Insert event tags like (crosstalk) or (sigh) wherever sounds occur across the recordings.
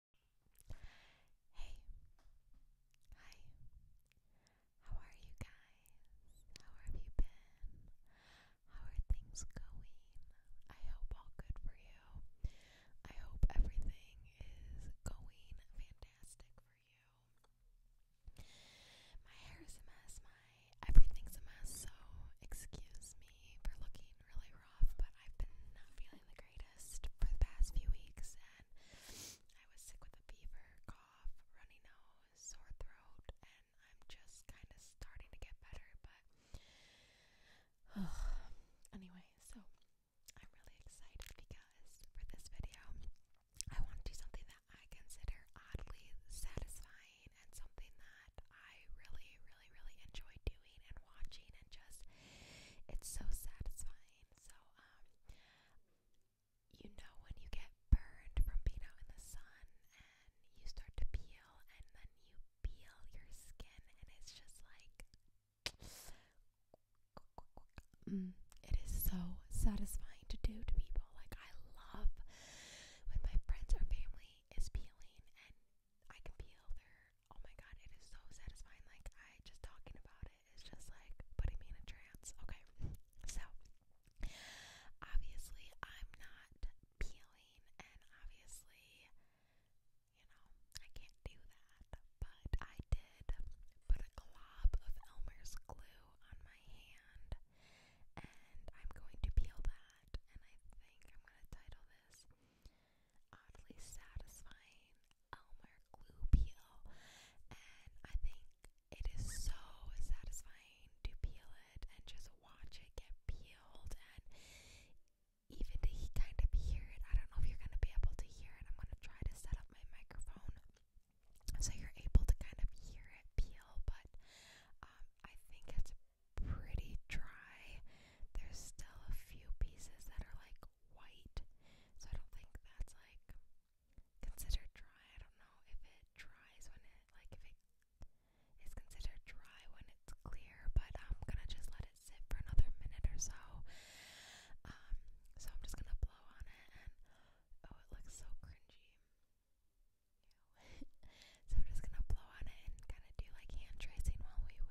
Hey, hi, how are you guys? How have you been? How are things going? I hope all good for you. I hope everything is going fantastic for you. My hair is a mess, my everything's a mess, so excuse me me for looking really rough, but I've been not feeling the greatest for the past few weeks, and I was sick with a fever, cough, runny nose, sore throat, and I'm just kind of starting to get better. But oh, (sighs) anyway, so I'm really excited because for this video, I want to do something that I consider oddly satisfying and something that I really, really, really enjoy doing and watching, and just it's so satisfying. So, um, you know, when you get burned from being out in the sun and you start to peel, and then you peel your skin, and it's just like mm, it is so satisfying to do to people. Like, I love when my friends or family is peeling, and I can peel their. Oh my god, it is so satisfying. Like, I just talking about it is just like putting me in a trance. Okay, (laughs) so obviously, I'm not peeling, and obviously, you know, I can't do that, but I did put a glob of Elmer's glue on my hand, and I'm going to peel that and I think I'm gonna title this Oddly Satisfying Elmer Glue Peel. And I think it is so satisfying to peel it and just watch it get peeled and even to kind of hear it. I don't know if you're gonna be able to hear it. I'm gonna try to set up my microphone so you're able to kind of hear it peel, but um, I think it's pretty dry. There's still a few pieces that are like white, so I don't think that's like considered dry. I don't know if it dries when it like if it is considered dry when it's clear, but I'm gonna just let it sit for another minute or so. Um, so I'm just gonna blow on it, and oh, it looks so cringy. (laughs) so I'm just gonna blow on it and kind of do like hand tracing while we wait.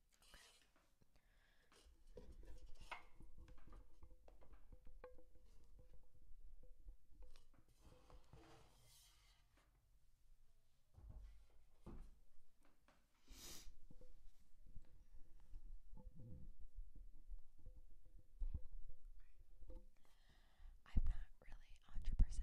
I'm not really 100% sure if you're going to be able to hear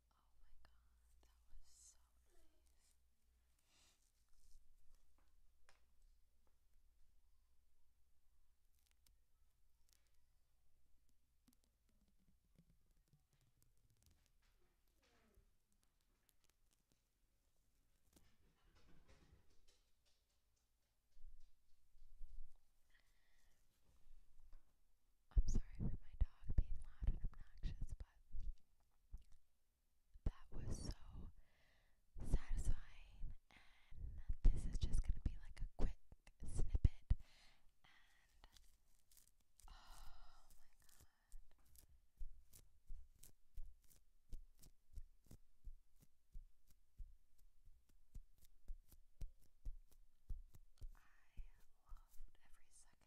Oh my god, that was so nice. I'm sorry for my dog being loud and obnoxious, but that was so satisfying. And this is just going to be like a quick snippet. And oh my god. I loved every second I know that. I didn't want it to end, and I, I kind of was hoping it was gonna break off into little pieces, but I think because I made it so thick,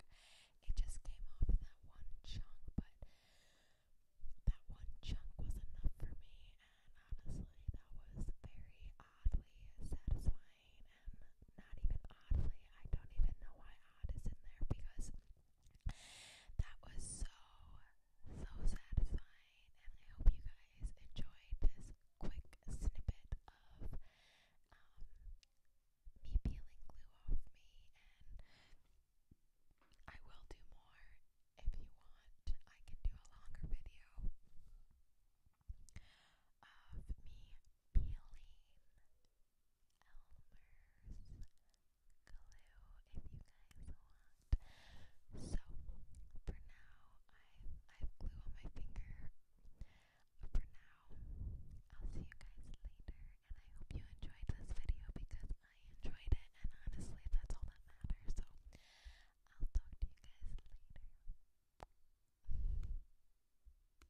it just came off in that one chunk. But that one chunk was enough for me, and honestly, that was very oddly satisfying, and not even oddly. I don't even know why odd is in there because that was so, so satisfying, and I hope you guys enjoyed this quick snippet of um, me peeling glue off me, and I will do more if you want. I can do a longer video of me peeling Elmer's glue if you guys want. So for now, I have glue on my finger. For now, I'll see you guys later, and I hope you enjoyed this video because I enjoyed it, and honestly, that's all that matters. So I'll talk to you guys later.